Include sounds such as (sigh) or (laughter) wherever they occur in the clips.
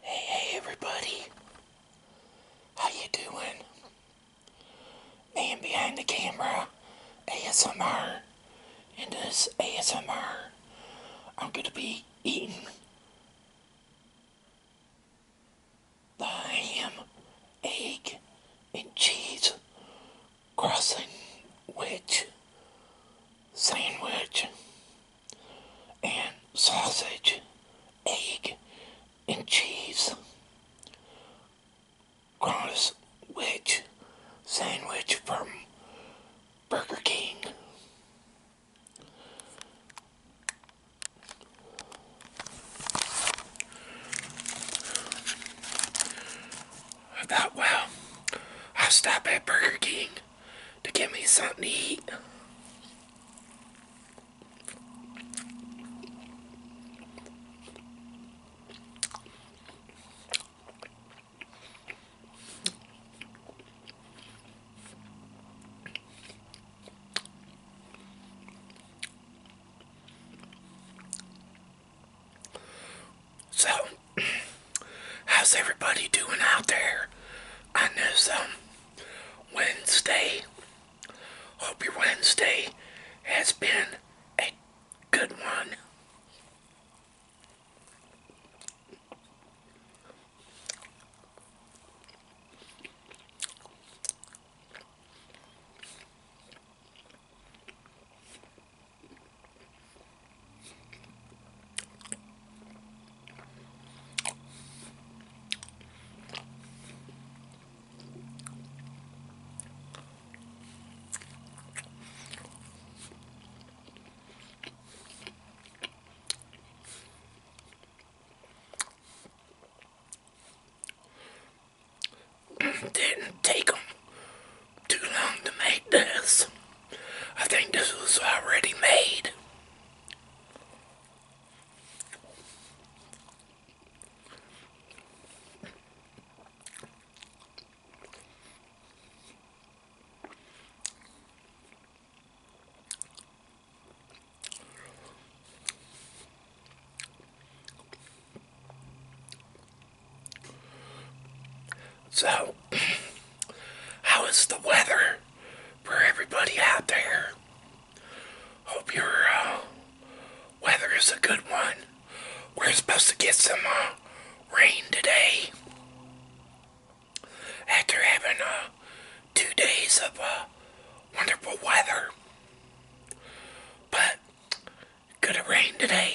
Hey, hey, everybody. How you doing? Man behind the camera, ASMR. In this ASMR, I'm going to be eating the ham, egg, and cheese crossing witch sandwich and sausage, egg, and cheese. Cross Witch sandwich from Burger King. I thought, well, I'll stop at Burger King to give me something to eat. So, (clears throat) how's everybody doing out there I know some Wednesday? Hope your Wednesday has been a good one didn't take them too long to make this. I think this was already made. So, how is the weather for everybody out there? Hope your uh, weather is a good one. We're supposed to get some uh, rain today. After having uh, two days of wonderful weather. But, going rain today.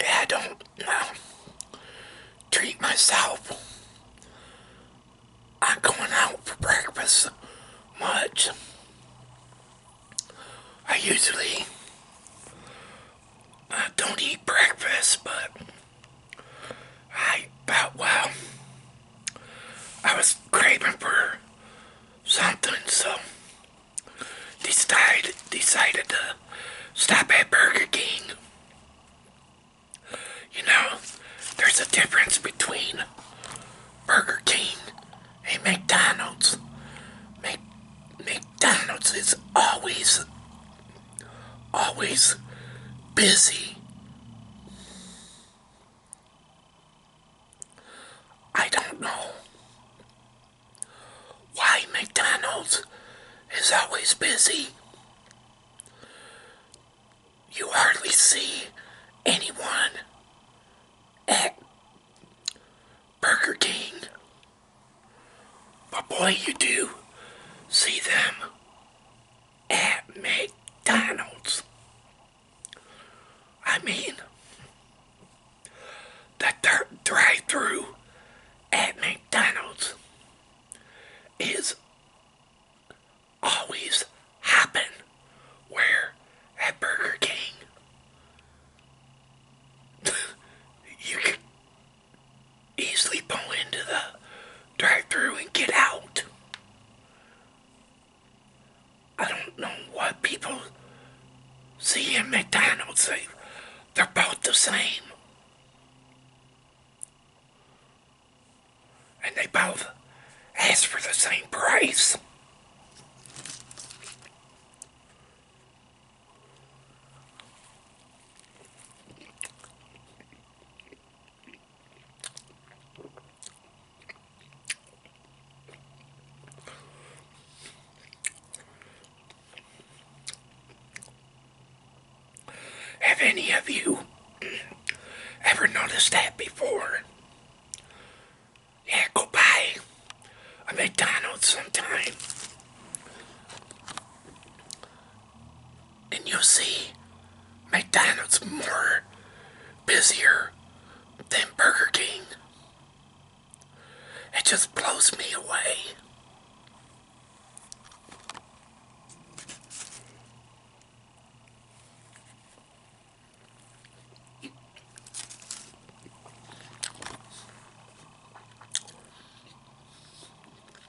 Yeah, I don't treat myself i going out for breakfast much. I usually I don't eat breakfast, but I thought, well, I was craving for something, so decided decided to stop at Burger King. You know, there's a difference between Burger King and McDonald's. Mac McDonald's is always always busy. I don't know why McDonald's is always busy. You hardly see anyone at Burger King. But boy, you do see them at McDonald's. I mean, the dirt drive through at McDonald's is always happen where at Burger King (laughs) you could easily pull into the drive through and get out. I don't know why people see in McDonald's. They, they're both the same. And they both ask for the same price. Have any of you ever noticed that before? Yeah, go buy a McDonald's sometime and you'll see McDonald's more busier than Burger King. It just blows me away.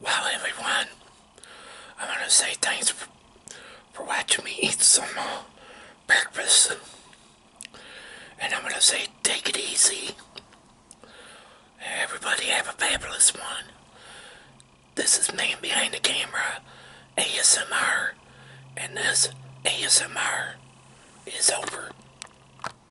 Well, everyone, I want to say thanks for, for watching me eat some more uh, breakfast. And I'm going to say take it easy. Everybody have a fabulous one. This is Man Behind the Camera ASMR. And this ASMR is over.